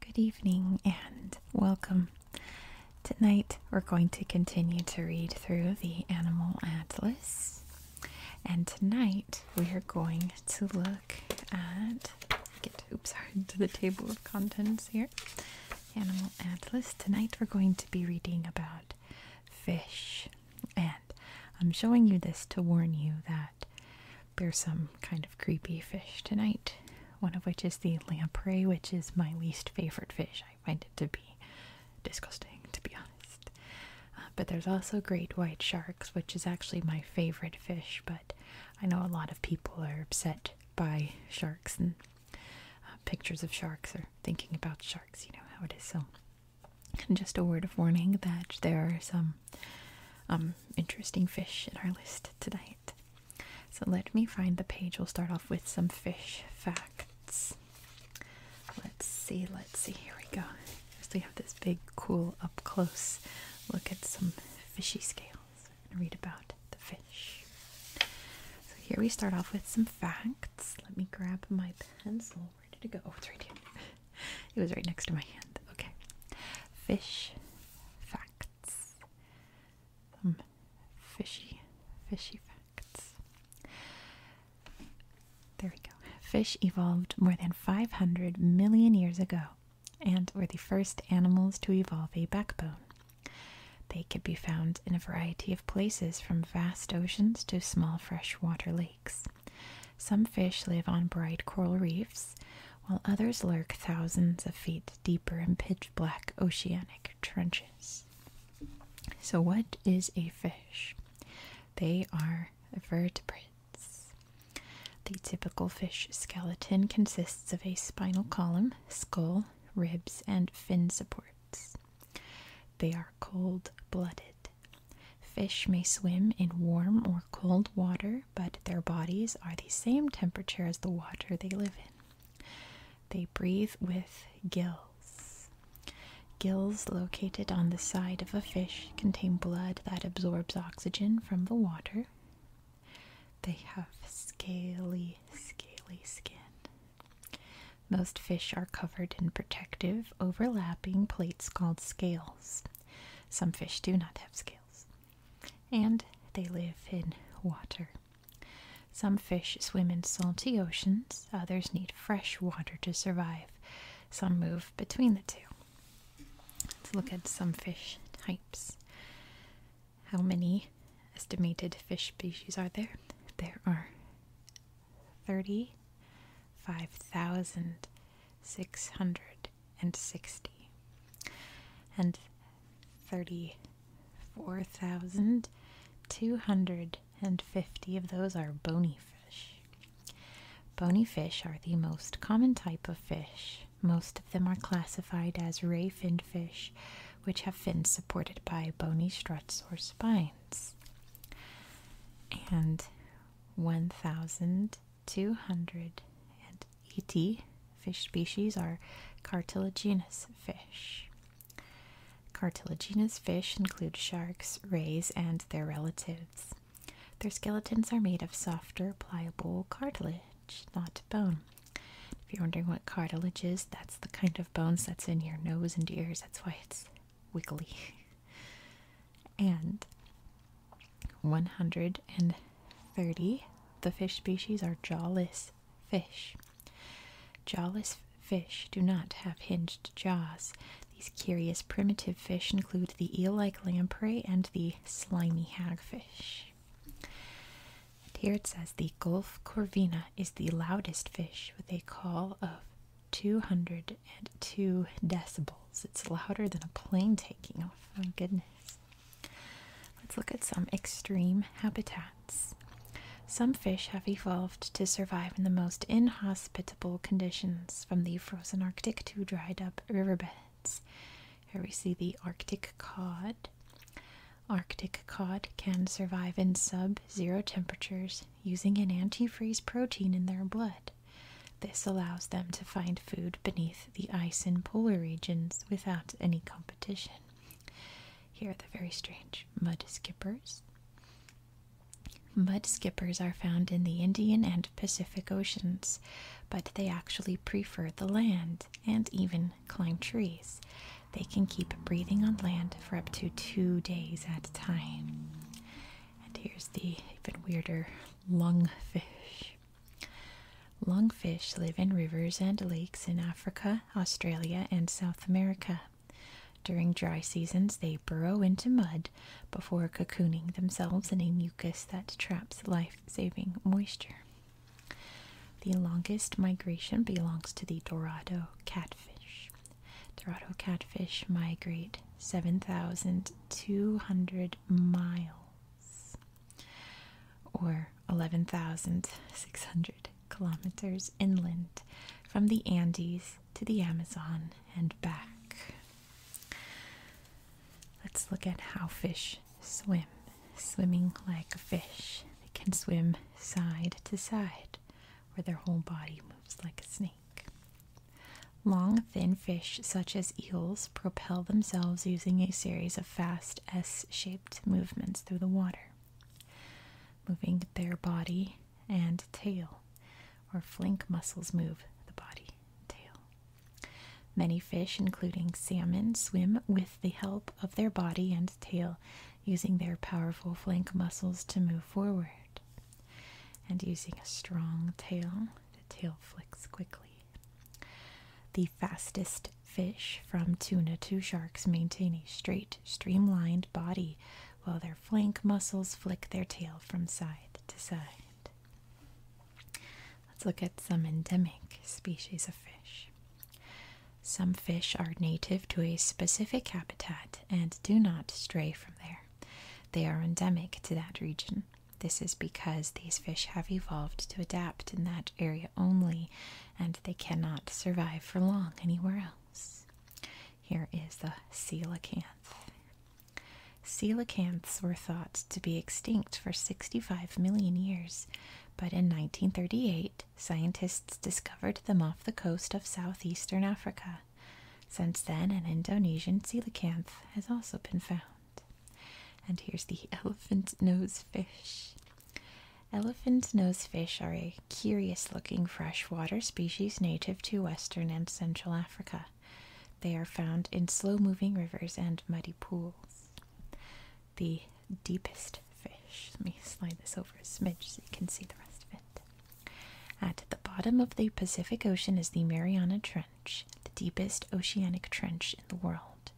Good evening and welcome. Tonight we're going to continue to read through the Animal Atlas. And tonight we are going to look at oops sorry to the table of contents here. Animal Atlas. Tonight we're going to be reading about fish. And I'm showing you this to warn you that there's some kind of creepy fish tonight, one of which is the lamprey, which is my least favorite fish. I find it to be disgusting, to be honest. Uh, but there's also great white sharks, which is actually my favorite fish, but I know a lot of people are upset by sharks and uh, pictures of sharks or thinking about sharks you know how it is. So, just a word of warning that there are some um, interesting fish in our list tonight. So, let me find the page. We'll start off with some fish facts. Let's see, let's see. Here we go. So we have this big, cool, up close look at some fishy scales and read about the fish. So, here we start off with some facts. Let me grab my pencil where did it go oh it's right here it was right next to my hand okay fish facts some hmm. fishy fishy facts there we go fish evolved more than 500 million years ago and were the first animals to evolve a backbone they could be found in a variety of places from vast oceans to small freshwater lakes. Some fish live on bright coral reefs, while others lurk thousands of feet deeper in pitch black oceanic trenches. So, what is a fish? They are vertebrates. The typical fish skeleton consists of a spinal column, skull, ribs, and fin supports. They are cold blooded. Fish may swim in warm or cold water, but their bodies are the same temperature as the water they live in. They breathe with gills. Gills located on the side of a fish contain blood that absorbs oxygen from the water. They have scaly, scaly skin. Most fish are covered in protective, overlapping plates called scales. Some fish do not have scales, and they live in water. Some fish swim in salty oceans, others need fresh water to survive. Some move between the two. Let's look at some fish types. How many estimated fish species are there? There are thirty five thousand six hundred and sixty and thirty four thousand two hundred and fifty of those are bony fish. Bony fish are the most common type of fish. Most of them are classified as ray finned fish, which have fins supported by bony struts or spines. And 1,280 fish species are cartilaginous fish. Cartilaginous fish include sharks, rays, and their relatives. Their skeletons are made of softer, pliable cartilage, not bone. If you're wondering what cartilage is, that's the kind of bones that's in your nose and ears. That's why it's wiggly. and 130. The fish species are jawless fish. Jawless fish do not have hinged jaws. These curious primitive fish include the eel like lamprey and the slimy hagfish. here it says the Gulf corvina is the loudest fish with a call of 202 decibels. It's louder than a plane taking off. My goodness. Let's look at some extreme habitats. Some fish have evolved to survive in the most inhospitable conditions, from the frozen Arctic to dried up riverbeds. Here we see the Arctic cod. Arctic cod can survive in sub zero temperatures using an antifreeze protein in their blood. This allows them to find food beneath the ice in polar regions without any competition. Here are the very strange mud skippers. Mud skippers are found in the Indian and Pacific Oceans, but they actually prefer the land and even climb trees. They can keep breathing on land for up to two days at a time. And here's the even weirder lungfish. Lungfish live in rivers and lakes in Africa, Australia, and South America. During dry seasons, they burrow into mud before cocooning themselves in a mucus that traps life saving moisture. The longest migration belongs to the Dorado catfish. Dorado catfish migrate 7,200 miles or 11,600 kilometers inland from the Andes to the Amazon and back. Let's look at how fish swim. Swimming like a fish, they can swim side to side where their whole body moves like a snake. Long, thin fish, such as eels, propel themselves using a series of fast S shaped movements through the water, moving their body and tail, or flank muscles move the body and tail. Many fish, including salmon, swim with the help of their body and tail using their powerful flank muscles to move forward. And using a strong tail, the tail flicks quickly. The fastest fish from tuna to sharks maintain a straight, streamlined body while their flank muscles flick their tail from side to side. Let's look at some endemic species of fish. Some fish are native to a specific habitat and do not stray from there. They are endemic to that region. This is because these fish have evolved to adapt in that area only, and they cannot survive for long anywhere else. Here is the coelacanth. Coelacanths were thought to be extinct for 65 million years, but in 1938, scientists discovered them off the coast of southeastern Africa. Since then, an Indonesian coelacanth has also been found. And here's the elephant nose fish. Elephant nose fish are a curious looking freshwater species native to western and central Africa. They are found in slow moving rivers and muddy pools. The deepest fish. Let me slide this over a smidge so you can see the rest of it. At the bottom of the Pacific Ocean is the Mariana Trench, the deepest oceanic trench in the world.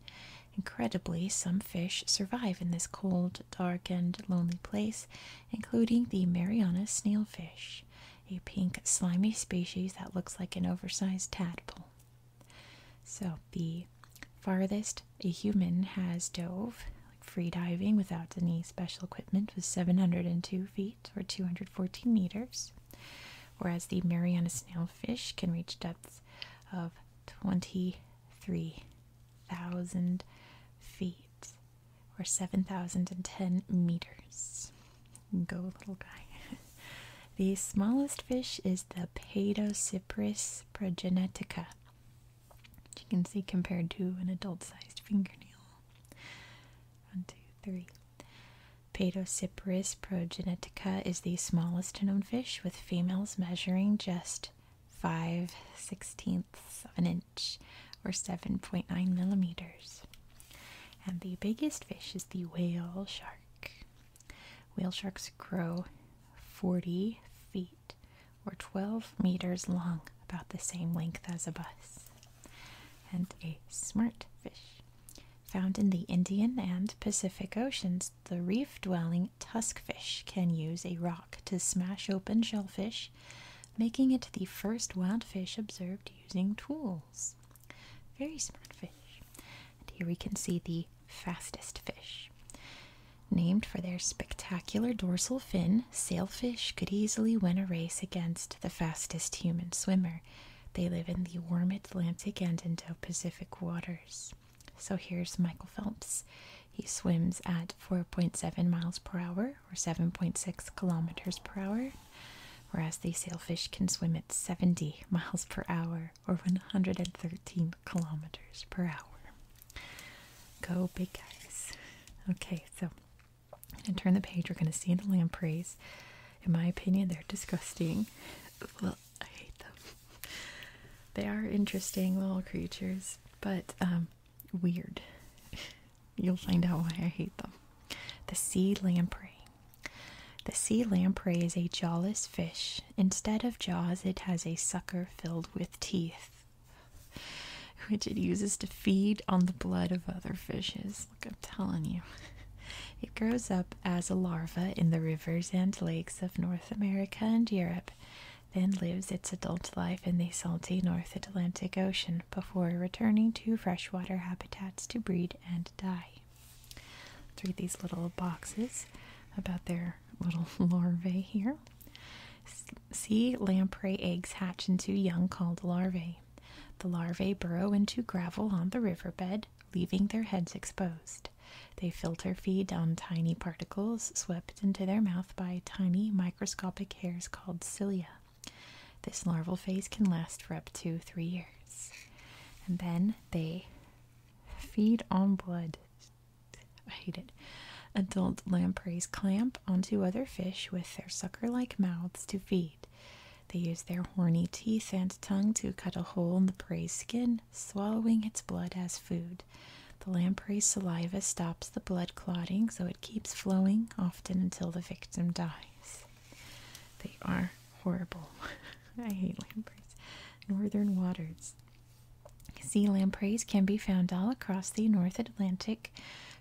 Incredibly, some fish survive in this cold, dark, and lonely place, including the Mariana snailfish, a pink, slimy species that looks like an oversized tadpole. So, the farthest a human has dove free diving without any special equipment was 702 feet or 214 meters, whereas the Mariana snailfish can reach depths of 23,000 feet or 7,010 meters. Go, little guy. the smallest fish is the Paedocypris progenetica. Which you can see compared to an adult sized fingernail. One, two, three. Paedocypris progenetica is the smallest known fish, with females measuring just 5 sixteenths of an inch or 7.9 millimeters. And the biggest fish is the whale shark. Whale sharks grow 40 feet or 12 meters long, about the same length as a bus and a smart fish. Found in the Indian and Pacific Oceans, the reef dwelling tuskfish can use a rock to smash open shellfish, making it the first wild fish observed using tools. Very smart fish. And here we can see the fastest fish. Named for their spectacular dorsal dolphin, sailfish could easily win a race against the fastest human swimmer. They live in the warm Atlantic and Indo Pacific waters. So here's Michael Phelps. He swims at 4.7 miles per hour or 7.6 kilometers per hour, whereas the sailfish can swim at 70 miles per hour or 113 kilometers per hour. Go big guys. Okay, so and turn the page, we're going to see the lampreys. In my opinion, they're disgusting. Well, I hate them. They are interesting little creatures, but um, weird. You'll find out why I hate them. The sea lamprey. The sea lamprey is a jawless fish. Instead of jaws, it has a sucker filled with teeth. which it uses to feed on the blood of other fishes. Look, I'm telling you. It grows up as a larva in the rivers and lakes of North America and Europe, then lives its adult life in the salty North Atlantic Ocean before returning to freshwater habitats to breed and die. Let's read these little boxes about their little larvae here sea lamprey eggs hatch into young called larvae. The larvae burrow into gravel on the riverbed, leaving their heads exposed. They filter feed on tiny particles swept into their mouth by tiny microscopic hairs called cilia. This larval phase can last for up to three years. And then they feed on blood. I hate it. Adult lampreys clamp onto other fish with their sucker like mouths to feed. They use their horny teeth and tongue to cut a hole in the prey's skin, swallowing its blood as food. The lamprey's saliva stops the blood clotting, so it keeps flowing, often until the victim dies. They are horrible. I hate lampreys. Northern waters. Sea lampreys can be found all across the North Atlantic,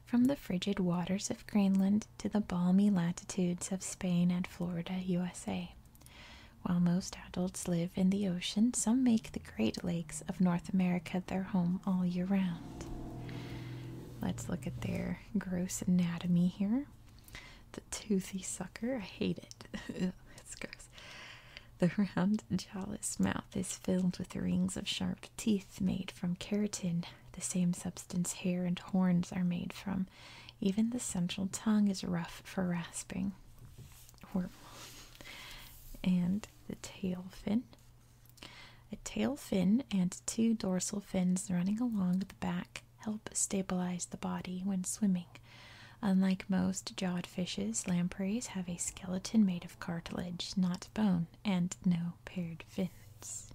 from the frigid waters of Greenland to the balmy latitudes of Spain and Florida, USA. While most adults live in the ocean, some make the Great Lakes of North America their home all year round. Let's look at their gross anatomy here. The toothy sucker, I hate it. it's gross. The round, jawless mouth is filled with rings of sharp teeth made from keratin, the same substance hair and horns are made from. Even the central tongue is rough for rasping. And the tail fin. A tail fin and two dorsal fins running along the back help stabilize the body when swimming. Unlike most jawed fishes, lampreys have a skeleton made of cartilage, not bone, and no paired fins.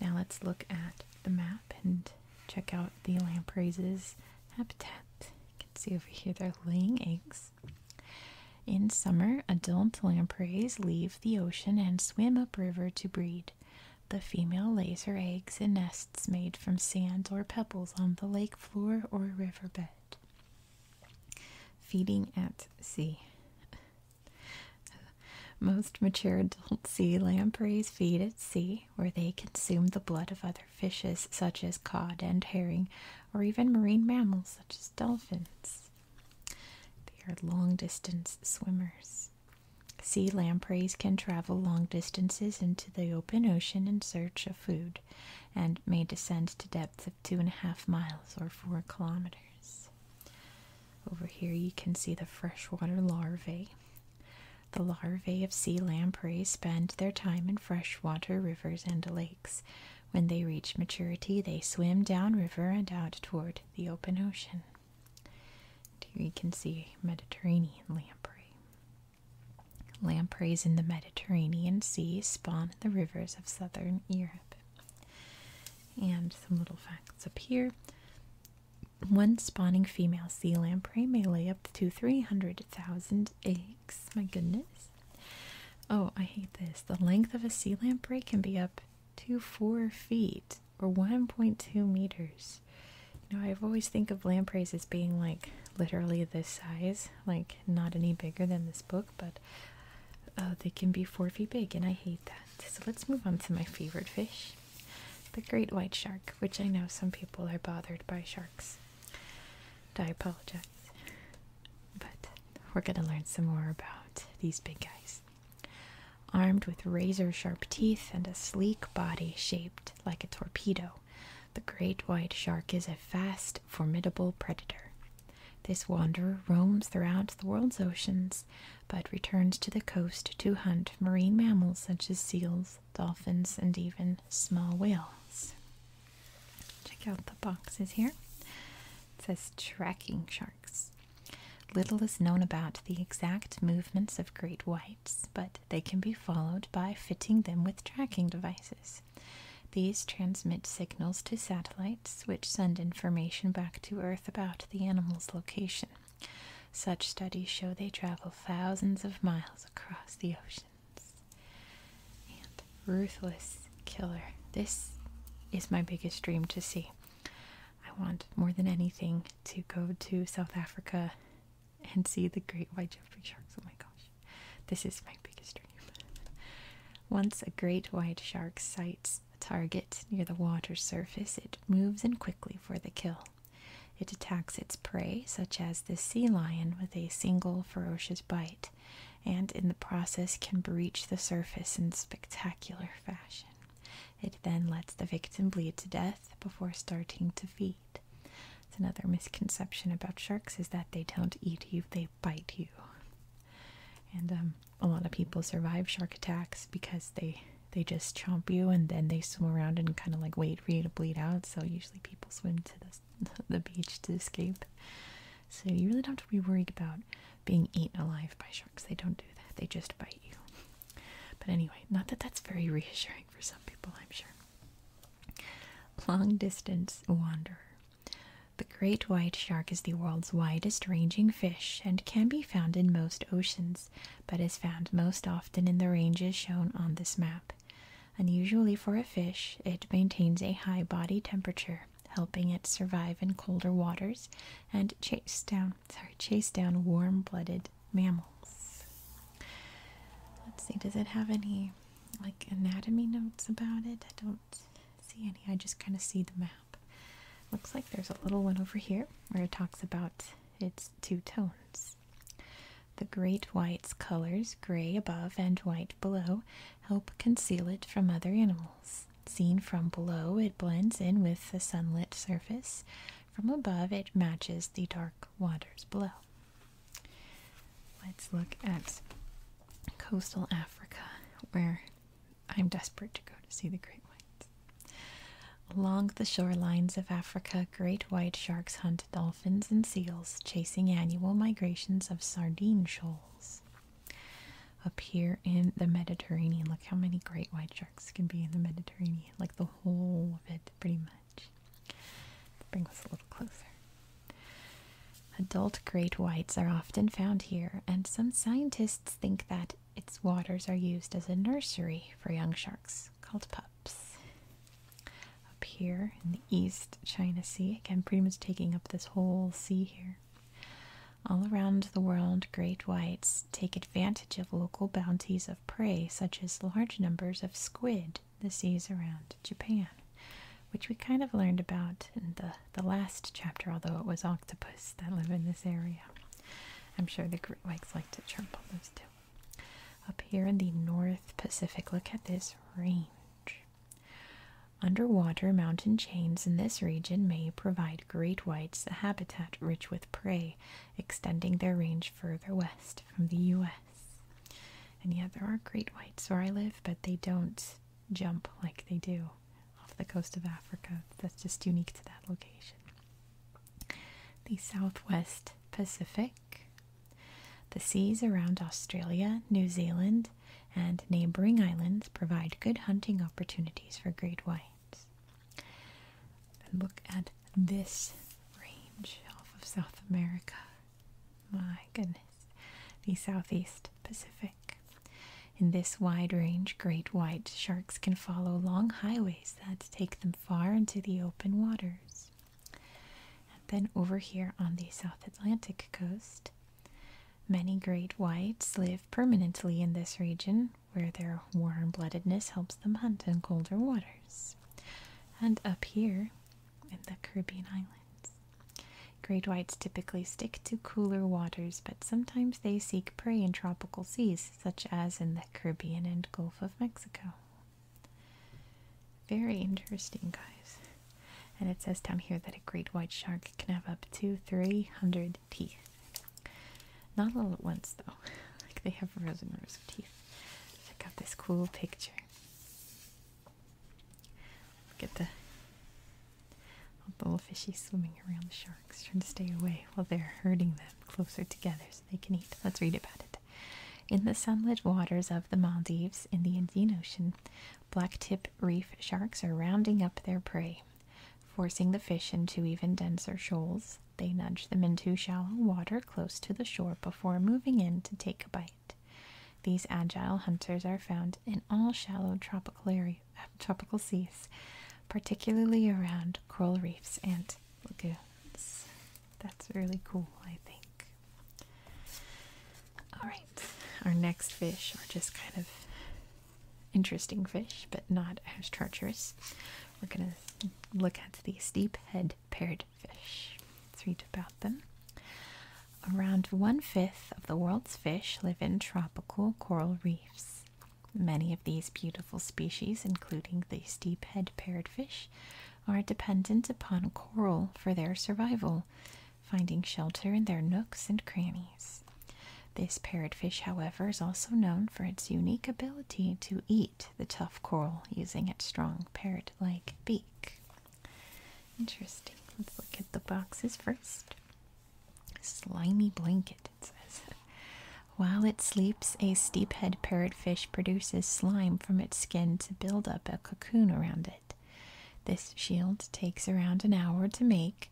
Now let's look at the map and check out the lampreys' habitat. You can see over here they're laying eggs. In summer, adult lampreys leave the ocean and swim upriver to breed. The female lays her eggs in nests made from sand or pebbles on the lake floor or riverbed. Feeding at sea. Most mature adult sea lampreys feed at sea, where they consume the blood of other fishes such as cod and herring, or even marine mammals such as dolphins. They are long distance swimmers. Sea lampreys can travel long distances into the open ocean in search of food and may descend to depths of two and a half miles or four kilometers. Over here you can see the freshwater larvae. The larvae of sea lamprey spend their time in freshwater rivers and lakes. When they reach maturity, they swim downriver and out toward the open ocean. Here you can see Mediterranean lamprey. Lampreys in the Mediterranean Sea spawn in the rivers of southern Europe. And some little facts up here. One spawning female sea lamprey may lay up to 300,000 eggs. My goodness. Oh, I hate this. The length of a sea lamprey can be up to 4 feet or 1.2 meters. You know, I've always think of lampreys as being like literally this size, like not any bigger than this book but uh, they can be four feet big, and I hate that. So let's move on to my favorite fish, the great white shark, which I know some people are bothered by sharks. I apologize, but we're gonna learn some more about these big guys. Armed with razor sharp teeth and a sleek body shaped like a torpedo, the great white shark is a fast, formidable predator. This wanderer roams throughout the world's oceans, but returns to the coast to hunt marine mammals such as seals, dolphins, and even small whales. Check out the boxes here. It says tracking sharks. Little is known about the exact movements of great whites, but they can be followed by fitting them with tracking devices. These transmit signals to satellites which send information back to Earth about the animal's location. Such studies show they travel thousands of miles across the oceans. And Ruthless Killer. This is my biggest dream to see. I want more than anything to go to South Africa and see the great white Jeffrey sharks. Oh my gosh. This is my biggest dream. Once a great white shark sights a target near the water surface, it moves in quickly for the kill. It attacks its prey, such as the sea lion, with a single ferocious bite, and in the process can breach the surface in spectacular fashion. It then lets the victim bleed to death before starting to feed. It's another misconception about sharks is that they don't eat you, they bite you and um, a lot of people survive shark attacks because they they just chomp you and then they swim around and kind of like wait for you to bleed out so usually people swim to the, the beach to escape so you really don't have to be worried about being eaten alive by sharks they don't do that they just bite you but anyway not that that's very reassuring for some people i'm sure long distance wanderer the great white shark is the world's widest ranging fish and can be found in most oceans, but is found most often in the ranges shown on this map. Unusually for a fish, it maintains a high body temperature, helping it survive in colder waters and chase down sorry, chase down warm-blooded mammals. Let's see, does it have any like anatomy notes about it? I don't see any. I just kind of see the map. Looks like there's a little one over here where it talks about its two tones. The great white's colors, gray above and white below, help conceal it from other animals. Seen from below, it blends in with the sunlit surface. From above, it matches the dark waters below. Let's look at coastal Africa, where I'm desperate to go to see the great whites. Along the shorelines of Africa, great white sharks hunt dolphins and seals, chasing annual migrations of sardine shoals. Up here in the Mediterranean, look how many great white sharks can be in the Mediterranean, like the whole of it, pretty much. bring us a little closer. Adult great whites are often found here, and some scientists think that its waters are used as a nursery for young sharks called pups. Up here in the East China Sea, again, pretty much taking up this whole sea here. All around the world, great whites take advantage of local bounties of prey, such as large numbers of squid, the seas around Japan, which we kind of learned about in the, the last chapter, although it was octopus that live in this area. I'm sure the great whites like to chirp on those too. Up here in the North Pacific, look at this range. Underwater mountain chains in this region may provide great whites a habitat rich with prey, extending their range further west from the U.S. And yeah, there are great whites where I live, but they don't jump like they do off the coast of Africa. That's just unique to that location. The Southwest Pacific, the seas around Australia, New Zealand, and neighboring islands provide good hunting opportunities for great whites. And look at this range off of South America. My goodness. The Southeast Pacific. In this wide range, great white sharks can follow long highways that take them far into the open waters. And then over here on the South Atlantic coast, many great whites live permanently in this region where their warm bloodedness helps them hunt in colder waters. And up here in the Caribbean islands, Great whites typically stick to cooler waters, but sometimes they seek prey in tropical seas, such as in the Caribbean and Gulf of Mexico. Very interesting, guys. And it says down here that a great white shark can have up to 300 teeth. Not all at once, though. Like, they have rows and rows of teeth. Check out this cool picture. Look the the A bullfishy swimming around the sharks, trying to stay away while they're herding them closer together so they can eat. Let's read about it. In the sunlit waters of the Maldives in the Indian Ocean, blacktip reef sharks are rounding up their prey. Forcing the fish into even denser shoals, they nudge them into shallow water close to the shore before moving in to take a bite. These agile hunters are found in all shallow tropical areas of tropical seas, particularly around coral reefs and lagoons. That's really cool, I think. Alright, our next fish are just kind of interesting fish, but not as treacherous. We're going to look at the steep head paired fish. about them. Around one fifth of the world's fish live in tropical coral reefs. Many of these beautiful species, including the steephead parrotfish, are dependent upon coral for their survival, finding shelter in their nooks and crannies. This parrotfish, however, is also known for its unique ability to eat the tough coral using its strong parrot like beak. Interesting. Let's look at the boxes first. Slimy blanket, it says. While it sleeps, a steephead parrotfish produces slime from its skin to build up a cocoon around it. This shield takes around an hour to make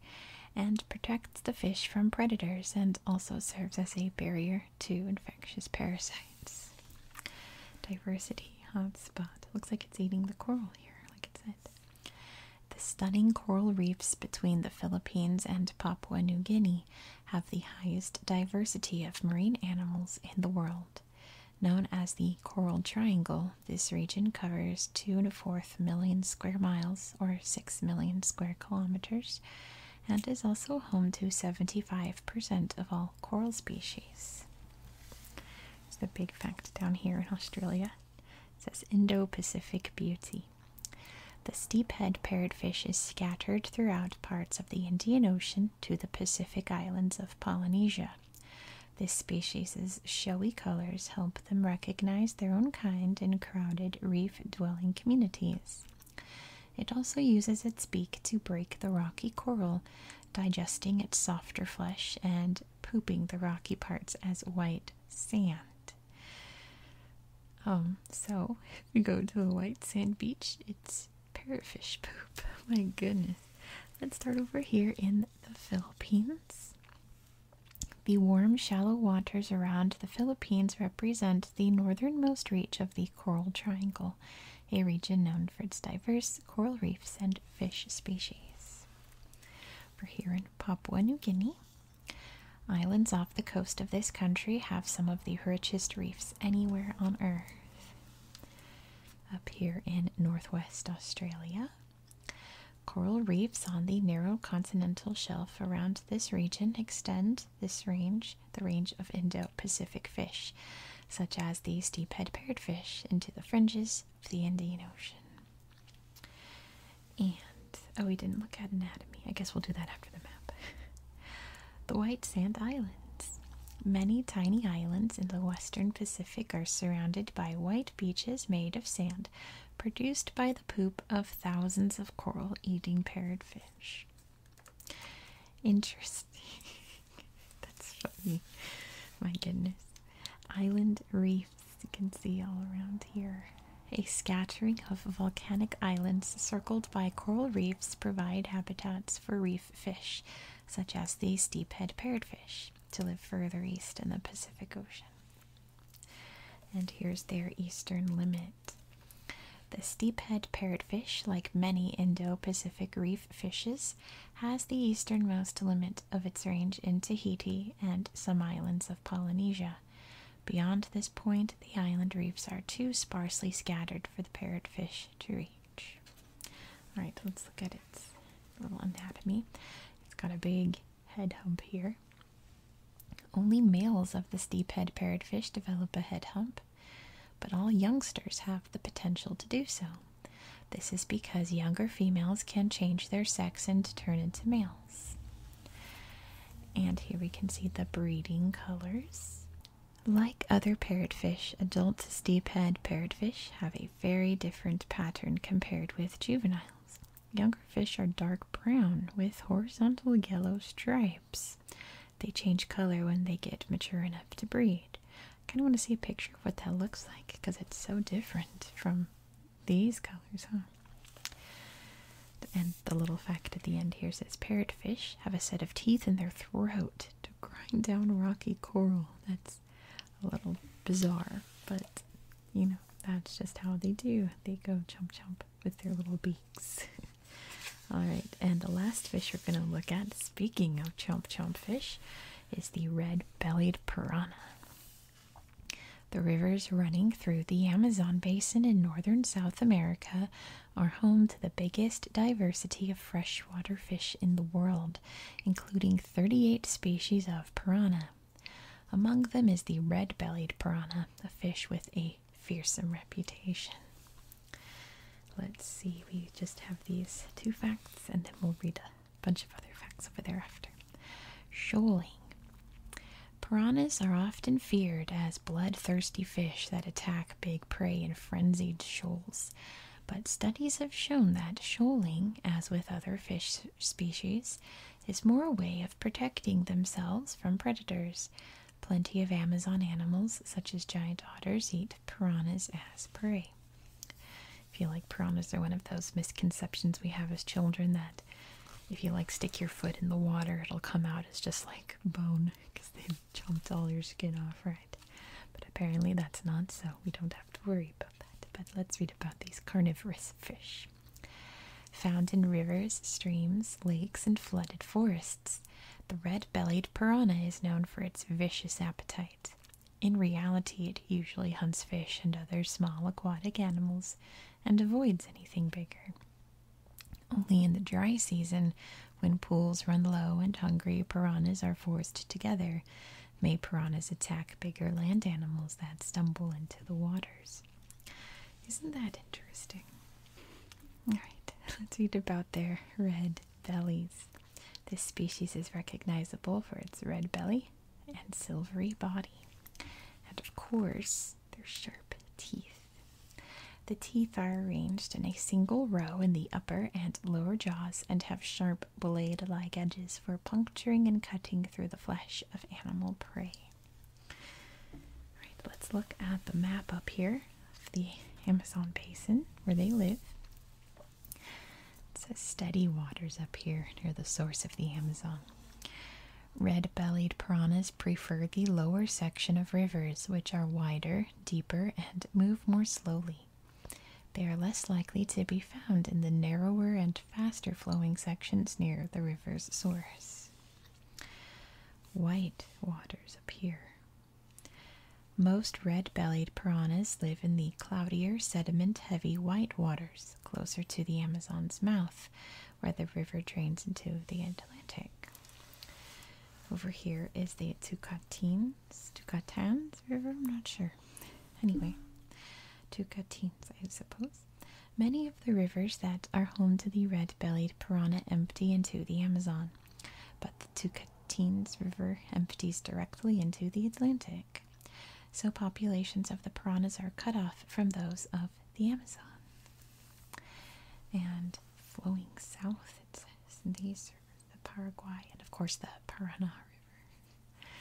and protects the fish from predators and also serves as a barrier to infectious parasites. Diversity hotspot. Looks like it's eating the coral here, like it said. The stunning coral reefs between the Philippines and Papua New Guinea have the highest diversity of marine animals in the world. Known as the Coral Triangle, this region covers 2 to 4th million square miles or 6 million square kilometers and is also home to 75% of all coral species. It's the big fact down here in Australia. It says Indo-Pacific Beauty. The steephead parrotfish is scattered throughout parts of the Indian Ocean to the Pacific Islands of Polynesia. This species' showy colors help them recognize their own kind in crowded reef-dwelling communities. It also uses its beak to break the rocky coral, digesting its softer flesh and pooping the rocky parts as white sand. Um, so if you go to a white sand beach, it's parrotfish poop. My goodness. Let's start over here in the Philippines. The warm, shallow waters around the Philippines represent the northernmost reach of the Coral Triangle, a region known for its diverse coral reefs and fish species. We're here in Papua New Guinea. Islands off the coast of this country have some of the richest reefs anywhere on earth. Up here in northwest Australia, coral reefs on the narrow continental shelf around this region extend this range, the range of Indo-Pacific fish, such as the steep-ed steephead parrotfish, into the fringes of the Indian Ocean. And, oh, we didn't look at anatomy. I guess we'll do that after the map. the White Sand Islands. Many tiny islands in the western Pacific are surrounded by white beaches made of sand produced by the poop of thousands of coral eating parrotfish. Interesting. That's funny. My goodness. Island reef as you can see all around here. A scattering of volcanic islands circled by coral reefs provide habitats for reef fish, such as the steephead parrotfish, to live further east in the Pacific Ocean. And here's their eastern limit. The steephead parrotfish, like many Indo Pacific reef fishes, has the easternmost limit of its range in Tahiti and some islands of Polynesia. Beyond this point, the island reefs are too sparsely scattered for the parrotfish to reach. Alright, let's look at its little anatomy. It's got a big head hump here. Only males of the deep parrotfish develop a head hump, but all youngsters have the potential to do so. This is because younger females can change their sex and turn into males. And here we can see the breeding colors. Like other parrotfish, adult steephead parrotfish have a very different pattern compared with juveniles. Younger fish are dark brown with horizontal yellow stripes. They change color when they get mature enough to breed. I kind of want to see a picture of what that looks like because it's so different from these colors, huh? And the little fact at the end here says parrotfish have a set of teeth in their throat to grind down rocky coral. That's a little bizarre, but you know, that's just how they do. They go chomp chomp with their little beaks. All right, and the last fish we're going to look at, speaking of chomp chomp fish, is the red bellied piranha. The rivers running through the Amazon basin in northern South America are home to the biggest diversity of freshwater fish in the world, including 38 species of piranha. Among them is the red bellied piranha, a fish with a fearsome reputation. Let's see, we just have these two facts and then we'll read a bunch of other facts over there after. Shoaling. Piranhas are often feared as bloodthirsty fish that attack big prey in frenzied shoals, but studies have shown that shoaling, as with other fish species, is more a way of protecting themselves from predators. Plenty of Amazon animals, such as giant otters, eat piranhas as prey. feel like piranhas are one of those misconceptions we have as children that if you like stick your foot in the water, it'll come out as just like bone because they've chomped all your skin off, right? But apparently that's not so. We don't have to worry about that. But let's read about these carnivorous fish. Found in rivers, streams, lakes, and flooded forests, the red bellied piranha is known for its vicious appetite. In reality, it usually hunts fish and other small aquatic animals and avoids anything bigger. Only in the dry season, when pools run low and hungry piranhas are forced together, may piranhas attack bigger land animals that stumble into the waters. Isn't that interesting? All right, let's read about their red bellies. This species is recognizable for its red belly and silvery body. And of course, their sharp teeth. The teeth are arranged in a single row in the upper and lower jaws and have sharp blade like edges for puncturing and cutting through the flesh of animal prey. Alright, let's look at the map up here of the Amazon basin where they live. It says steady waters up here near the source of the Amazon. Red-bellied piranhas prefer the lower section of rivers, which are wider, deeper, and move more slowly. They are less likely to be found in the narrower and faster flowing sections near the river's source. White waters appear. Most red bellied piranhas live in the cloudier, sediment heavy white waters closer to the Amazon's mouth, where the river drains into the Atlantic. Over here is the Tucatines, Tucatans River, I'm not sure. Anyway, Tucatines, I suppose. Many of the rivers that are home to the red-bellied piranha empty into the Amazon, but the Tucatines River empties directly into the Atlantic. So populations of the piranhas are cut off from those of the Amazon. And flowing south, it says, these are the Paraguay and, of course, the Parana River.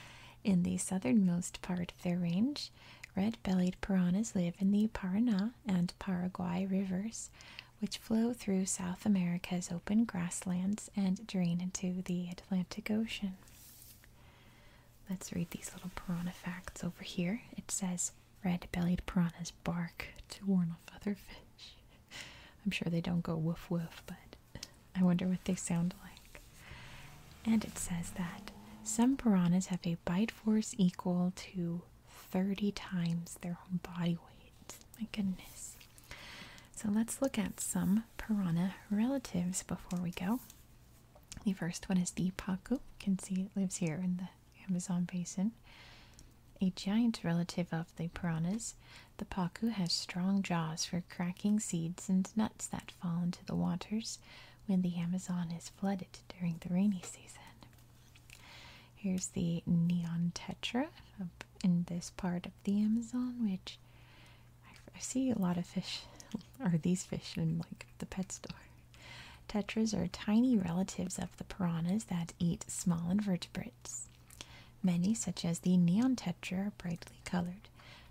In the southernmost part of their range, red bellied piranhas live in the Parana and Paraguay rivers, which flow through South America's open grasslands and drain into the Atlantic Ocean. Let's read these little piranha facts over here. It says Red-bellied piranhas bark to warn off other fish. I'm sure they don't go woof woof, but I wonder what they sound like. And it says that some piranhas have a bite force equal to 30 times their own body weight. My goodness. So let's look at some piranha relatives before we go. The first one is the pacu. You can see it lives here in the Amazon basin. A giant relative of the piranhas, the pacu has strong jaws for cracking seeds and nuts that fall into the waters when the Amazon is flooded during the rainy season. Here's the neon tetra in this part of the Amazon, which I see a lot of fish, Are these fish in like the pet store. Tetras are tiny relatives of the piranhas that eat small invertebrates. Many, such as the neon tetra, are brightly colored,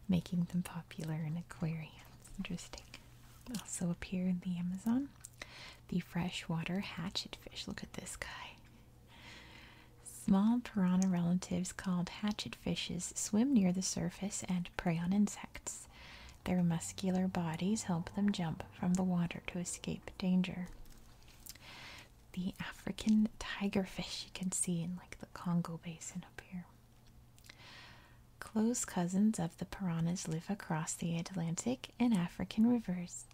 making them popular in aquariums. Interesting. Also appear in the Amazon. The freshwater hatchetfish. Look at this guy. Small piranha relatives called hatchetfishes swim near the surface and prey on insects. Their muscular bodies help them jump from the water to escape danger. The African tigerfish you can see in like the Congo basin up here. Close cousins of the piranhas live across the Atlantic and African rivers.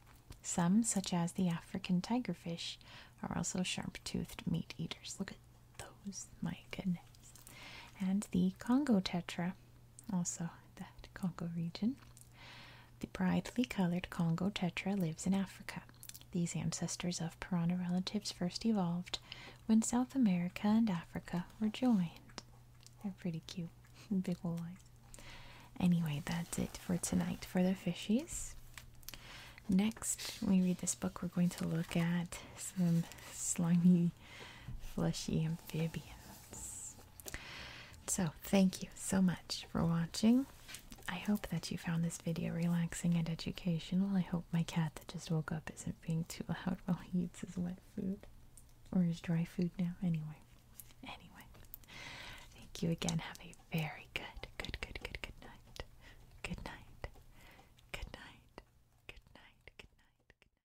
Some, such as the African tigerfish, are also sharp-toothed meat eaters. Look at those, my goodness. And the Congo tetra also the Congo region. The brightly colored Congo tetra lives in Africa. These ancestors of piranha relatives first evolved when South America and Africa were joined. They're pretty cute. Big ol' eyes. Anyway, that's it for tonight for the fishies. Next, when we read this book, we're going to look at some slimy, fleshy amphibians. So, thank you so much for watching. I hope that you found this video relaxing and educational. I hope my cat that just woke up isn't being too loud while he eats his wet food or his dry food now. Anyway, anyway, thank you again. Have a very good, good, good, good, Good night. Good night. Good night. Good night. Good night.